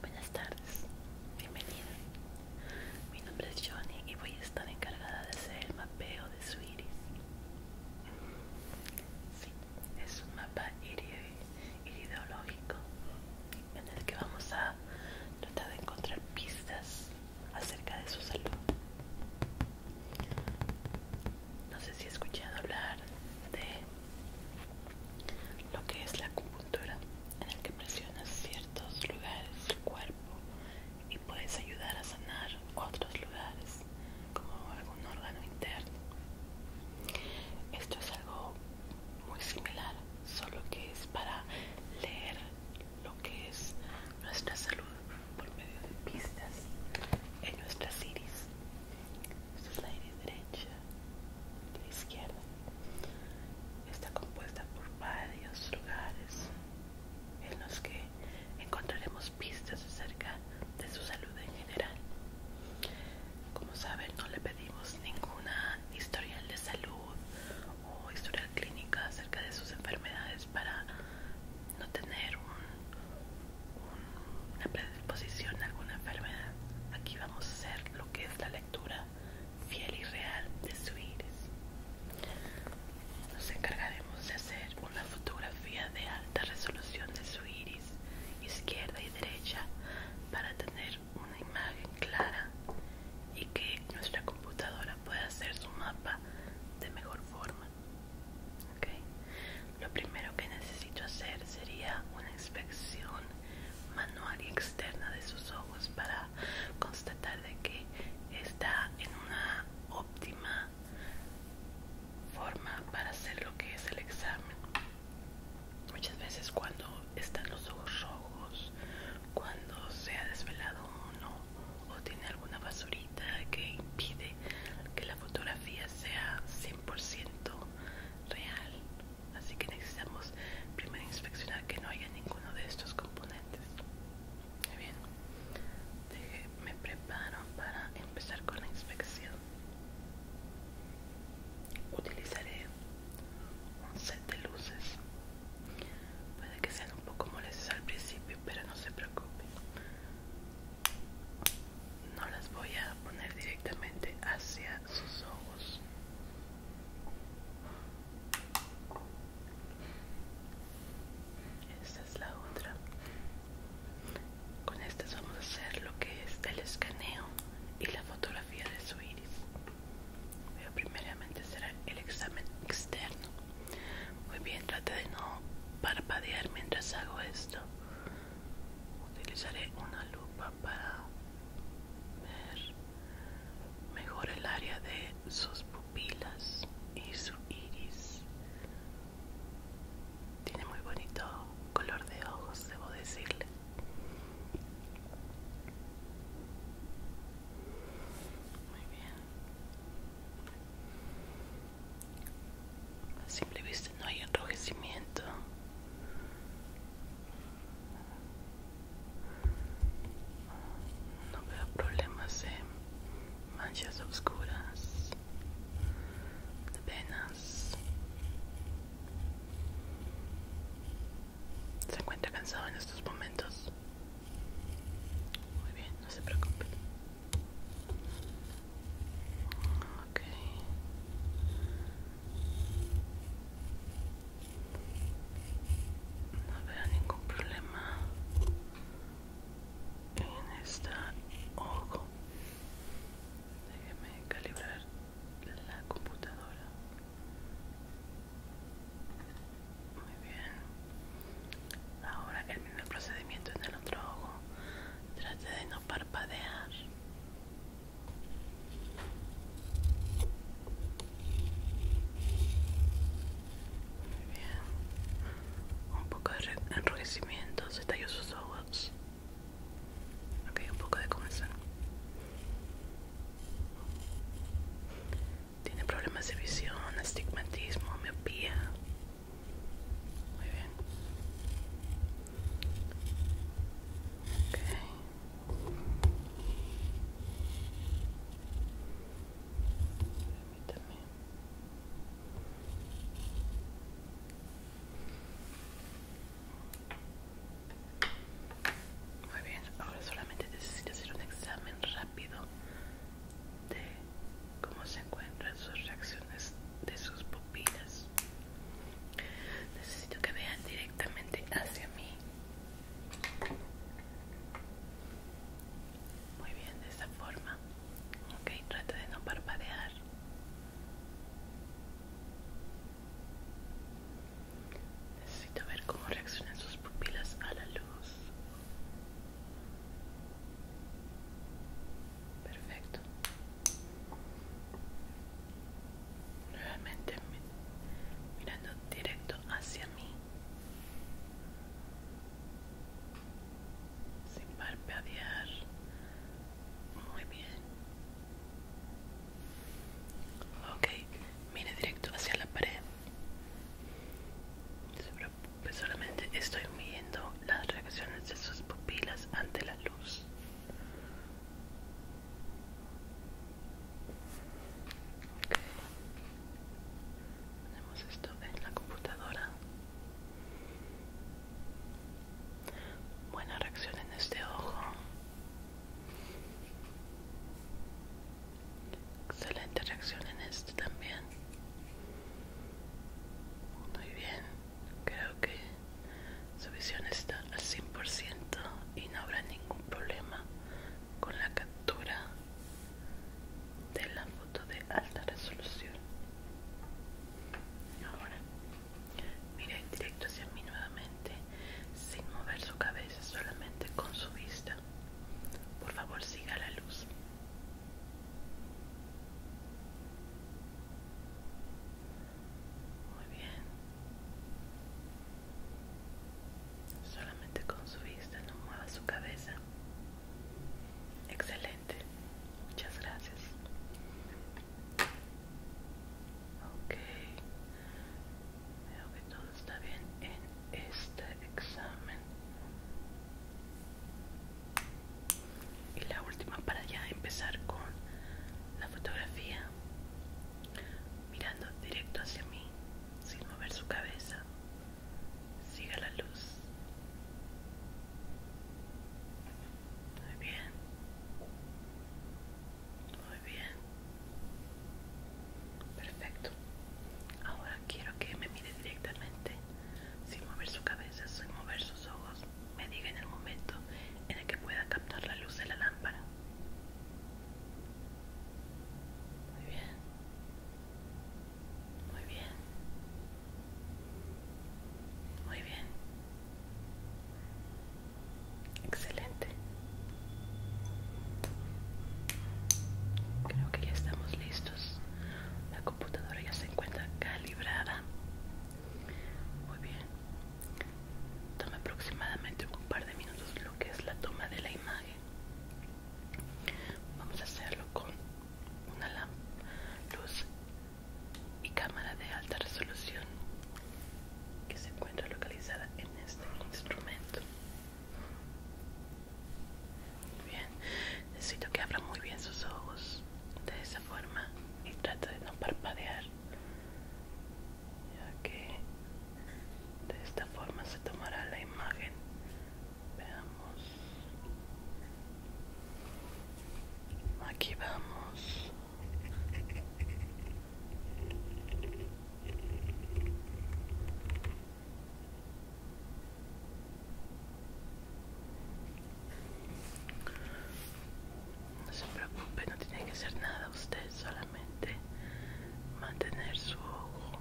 Buenas tardes, bienvenida. Mi nombre es Johnny y voy a estar encargada de hacer el mapeo de su iris. Sí, es un mapa irideológico en el que vamos a tratar de encontrar pistas acerca de su salud. No sé si he escuchado hablar de lo que es la acupuntura, en el que presionas ciertos lugares del cuerpo y puedes ayudar a sanar otros lugares, como algún órgano interno. Esto es algo muy similar, solo que es para leer lo que es nuestra salud por medio de pistas en nuestras iris. Esta es la iris derecha, la izquierda. Está compuesta por varios lugares en los que encontraremos pistas acerca de su salud en general. Como saben, no le pedimos ninguna historial de salud o historial clínica acerca de sus enfermedades para no tener una predisposición a alguna enfermedad. Aquí vamos a hacer lo que es la lectura fiel y real de su iris. Nos encargaremos de hacer una fotografía de alta resolución de su iris izquierda y derecha para tener una imagen clara y que nuestra computadora puede hacer su mapa de mejor forma. Lo primero que necesito hacer sería una inspección manual y externa de sus ojos para constatar de que está en una óptima forma para hacer lo que es el examen. Muchas veces cuando están los ojos rojos, cuando se ha desvelado uno o tiene alguna basurita que impide que la fotografía sea 100% real. Así que necesitamos primero inspeccionar que no haya ninguno de estos componentes. Muy bien, me preparo para empezar con la inspección. Utilizaré un set de luces Puede que sean un poco molestas al principio, pero no se preocupen. No las voy a poner directamente hacia sus ojos. Esta es la otra. Con estas vamos a hacer lo que es el escaneo y la fotografía de su iris. Pero primeramente será el examen externo muy bien, trate de no parpadear mientras hago esto. Utilizaré una lupa para ver mejor el área de sus pupilas y su iris. Tiene muy bonito color de ojos, debo decirle. Muy bien. A simple vista no hay enrojecimiento. No veo problemas de manchas oscuras, de venas. ¿Se encuentra cansado en estos momentos? Muy bien, no se preocupen. No veo ningún problema en esta ojo. Déjeme calibrar la computadora. Muy bien. Ahora el mismo procedimiento en el otro ojo. Trate de no parpadear. Muy bien. Un poco de enrojecimiento. Se suaves sus ojos. Ok, un poco de comenzar. Tiene problemas de visión, estigmatismo, miopía. Muy bien. Muy bien, ahora solamente necesito hacer un examen rápido de cómo se encuentran sus reacciones de sus pupilas. Necesito que vean directamente hacia mí. Muy bien, de esta forma. Ok, trata de no parpadear. Necesito ver cómo reaccionan sus pupilas a la luz. Perfecto. Nuevamente mirando directo hacia mí. Sin parpadear. Muy bien. Ok, mire directo hacia la pared pues solamente estoy midiendo las reacciones de sus pupilas ante la luz. Okay. esto en la computadora. Buena reacción en este ojo. Excelente reacción en este también. Muy bien, creo que su visión está al 100% y no habrá ningún problema con la captura de la foto de alta resolución. Ahora, mire directo hacia mí nuevamente, sin mover su cabeza, solamente con su vista. Por favor, siga la luz. Muy bien. Solamente con su vista no mueva su cabeza. Excelente. Muchas gracias. Ok. Veo que todo está bien este examen y la última para ya empezar con la fotografía mirando directo hacia mí sin mover su cabeza siga la luz muy bien muy bien perfecto ahora quiero que me mire directamente sin mover su cabeza, sin mover sus ojos, me diga en el momento en el que pueda captar la luz de la lámpara. Muy bien. Muy bien. Muy bien. Excelente. Creo que ya estamos listos la computadora ya se encuentra calibrada muy bien toma aproximadamente un par de minutos lo que es la toma de la imagen vamos a hacerlo con una luz y cámara de alta resolución que se encuentra localizada en este instrumento Bien, necesito que abra muy bien sus ojos de esa forma y trata de no parpadear, ya que de esta forma se tomará la imagen. Veamos. Aquí vamos. No se preocupe, no tiene que hacer nada usted, solamente mantener su ojo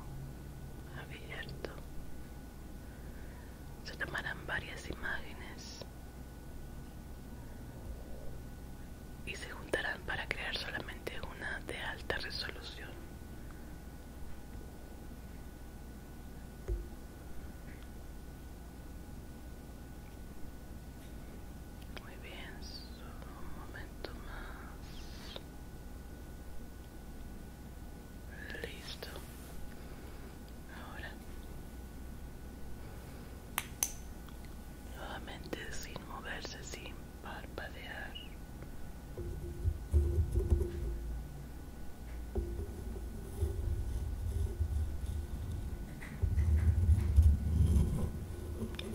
abierto. Se tomarán varias imágenes y se juntarán para crear solamente una de alta resolución. Muy bien, solo un momento más. Listo. Ahora. Nuevamente sin moverse, sin parpadear.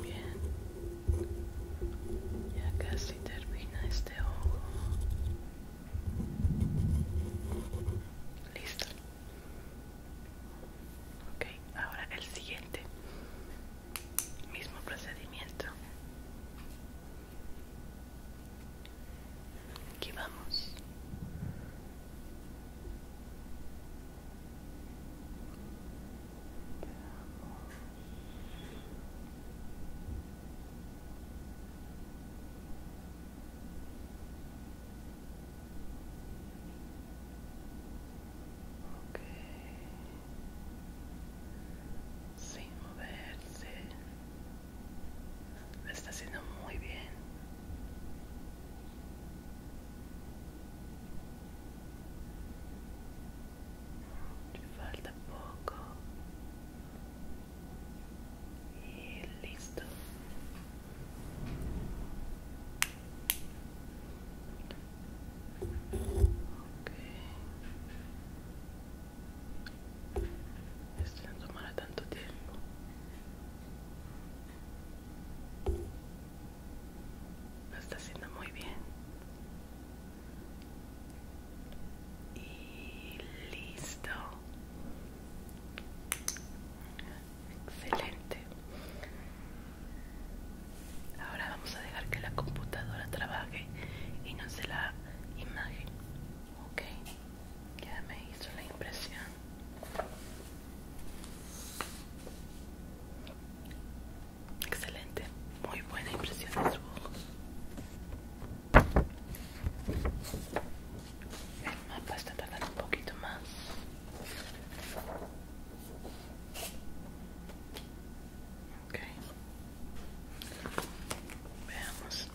Bien, ya casi termina este ojo. Listo. Ok, ahora el siguiente. Mismo procedimiento. Aquí vamos. sin moverse lo está haciendo muy bien. me falta poco. Y listo. Okay. Esto no tomará tanto tiempo. Lo está haciendo muy bien. Y listo. Excelente. Ahora vamos a dejar que la computadora trabaje y nos dé la imagen. Ok, ya me hizo la impresión. Excelente, muy buena impresión de su ojo. El mapa está un poquito más. Ok. Veamos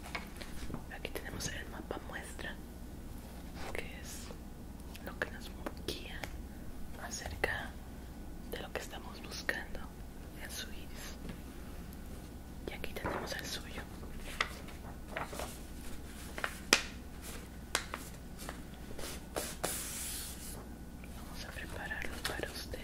aquí tenemos el mapa muestra que es lo que nos guía acerca de lo que estamos buscando en su iris y aquí tenemos el suyo vamos a prepararlo para usted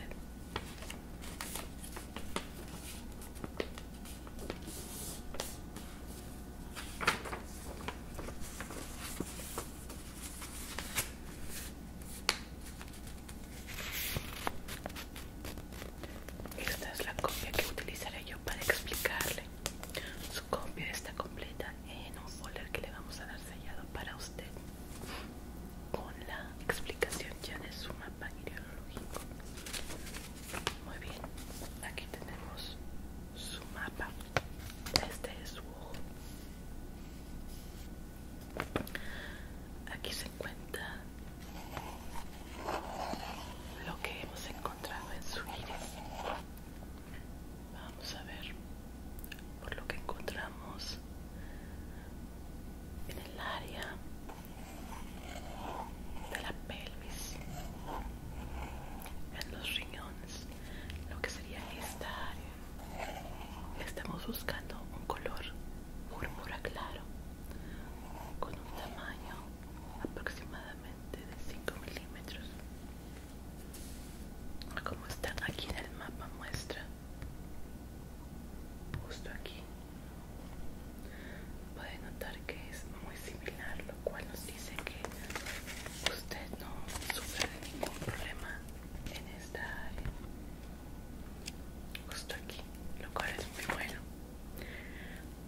esta es la copia que utilizaré yo para explicarle. Su copia está completa en un folder que le vamos a dar sellado para usted con la explicación ya de su mapa ideológico. Muy bien, aquí tenemos su mapa. Este es su ojo. Aquí se encuentra lo que hemos encontrado en su línea Vamos a ver por lo que encontramos en el área de la pelvis en los riñones lo que sería esta área estamos buscando un color púrpura claro con un tamaño aproximadamente de 5 milímetros como está aquí en el mapa muestra justo aquí Puede notar que es muy similar, lo cual nos dice que usted no sufre de ningún problema en esta área. Justo aquí, lo cual es muy bueno.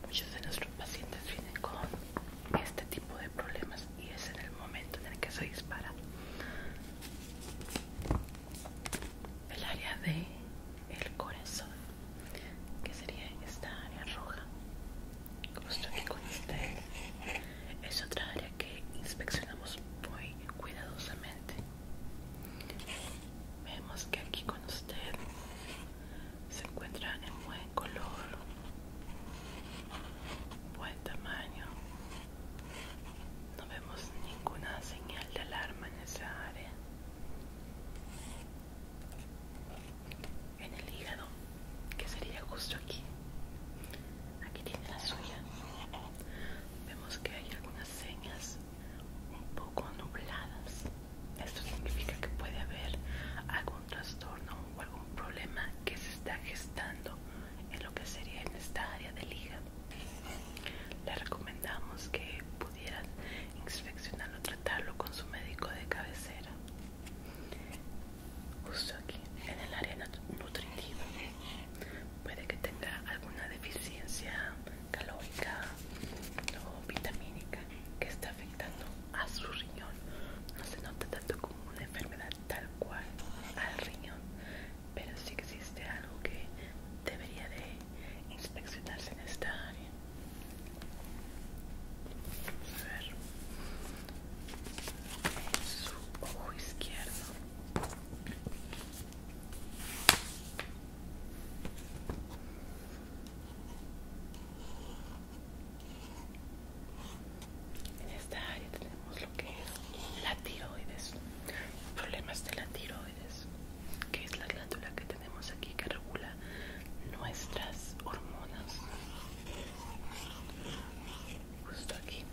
Muchos de nuestros pacientes vienen con este tipo de problemas y es en el momento en el que se dispara el área de el corazón que sería esta área roja justo aquí con usted es otra área que inspeccionamos muy cuidadosamente vemos que aquí con usted se encuentran en buen color buen tamaño no vemos ninguna señal de alarma en esa área en el hígado, que sería justo aquí. Aquí tiene la suya. Vemos que hay algunas señas un poco nubladas. Esto significa que puede haber algún trastorno o algún problema que se está gestando en lo que sería en esta área del hígado. Le recomendamos que inspeccionarlo, tratarlo con su médico de cabecera. Justo aquí, en el área nutritiva. Puede que tenga alguna deficiencia calórica o vitamínica que está afectando a su riñón. No se nota tanto como una enfermedad tal cual al riñón, pero sí existe algo que debería de inspeccionarse en esta área. ver. En su ojo izquierdo. En esta área tenemos lo que es la tiroides, problemas de la tiroides, que es la glándula que te tenemos aquí que regula nuestras hormonas justo aquí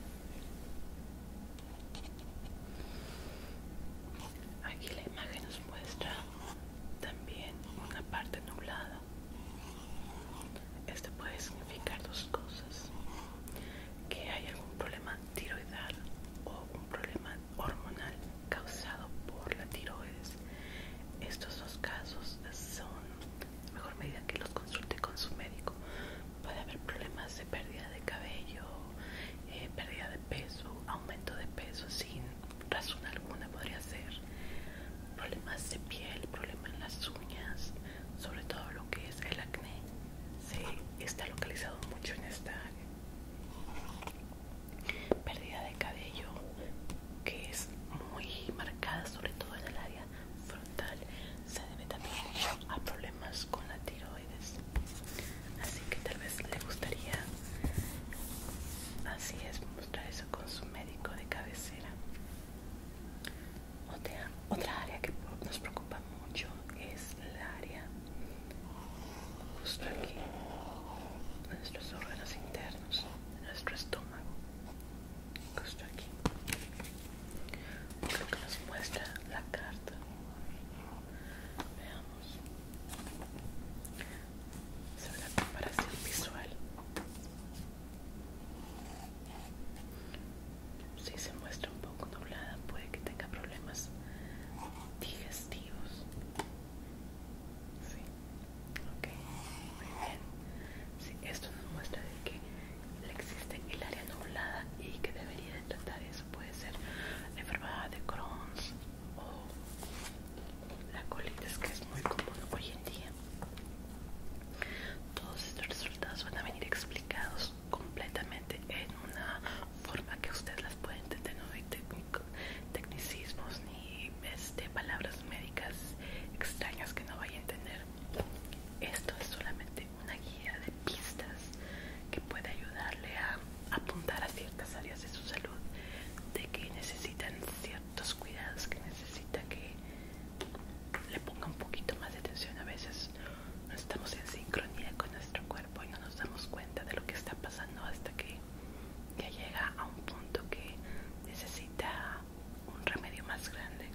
aquí la imagen nos muestra también una parte nublada esto puede significar dos cosas que hay algún problema tiroidal o un problema hormonal causado por la tiroides. Estos dos casos son mejor medida que los consulte con su médico. Puede haber problemas de pérdida de cabello, eh, pérdida de peso, aumento de peso sin razón alguna podría ser, problemas de piel, problemas en las uñas, sobre todo lo que es el acné. Se está localizado mucho en esta área. Pérdida de cabello que es muy marcada, sobre todo en el área frontal, se debe también a problemas con la tiroides. Así que tal vez le gustaría, así es, mostrar eso con su médico de cabecera. Otra, otra área que nos preocupa mucho es el área justo aquí, nuestros órganos internos, nuestro estómago, justo aquí, lo que nos muestra la carta. Veamos sobre la comparación visual. Si se muestra un poco doblada puede que tenga problemas digestivos. Sí, esto nos muestra de que existe el área nublada y que debería tratar eso. Puede ser la enfermedad de Crohn's o la colitis, que es muy común hoy en día. Todos estos resultados van a venir explicados completamente en una forma que ustedes las pueden entender, no hay tecnicismos y de este, palabras médicas extrañas que no vaya a entender. Esto es solamente una guía de pistas que puede ayudarle a apuntar a ciertas áreas de su salud, de que necesitan ciertos cuidados, que necesita que le ponga un poquito más de atención. A veces no estamos en sincronía con nuestro cuerpo y no nos damos cuenta de lo que está pasando hasta que ya llega a un punto que necesita un remedio más grande.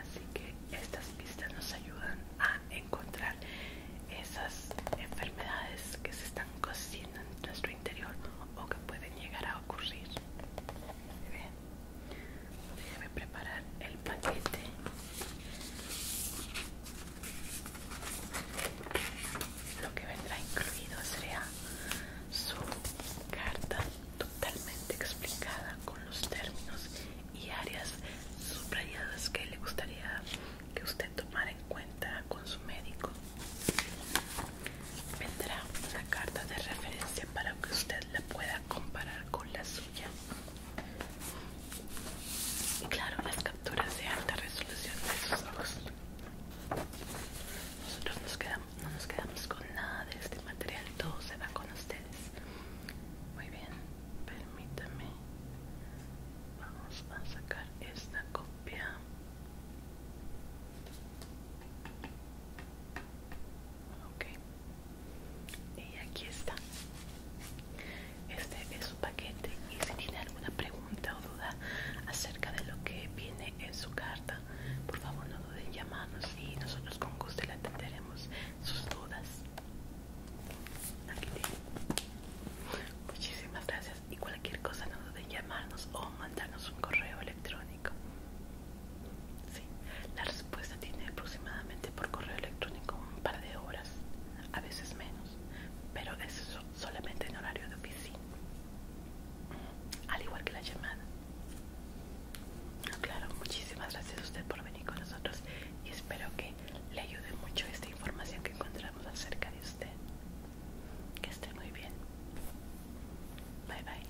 Así que estas pistas nos ayudan a encontrar esas enfermedades que se están cociendo en nuestro interior o que pueden llegar a ocurrir. Bien, preparar el paquete lo que vendrá incluido será su carta totalmente explicada con los términos y áreas subrayadas que le gustaría que usted tomara en cuenta con su médico. Vendrá una carta de referencia para que usted la pueda comparar con la suya. Y claro, las capturas de alta resolución de sus ojos. Nosotros no nos quedamos con nada de este material, todo se va con ustedes. Muy bien, permítame. Vamos a sacar esta copia. Ok. Y aquí está. Este es su paquete y si tiene alguna pregunta o duda acerca de lo que viene en su carta, por favor no duden en llamarnos y nosotros con gusto le atenderemos sus dudas. Aquí tiene. Muchísimas gracias y cualquier cosa no duden en llamarnos o mandarnos un correo electrónico. Sí, la respuesta tiene aproximadamente por correo electrónico un par de horas, a veces menos, pero eso solamente en horario de oficina al igual que la llamada. Claro, muchísimas gracias a usted por venir con nosotros y espero que le ayude mucho esta información que encontramos acerca de usted. Que esté muy bien. Bye bye.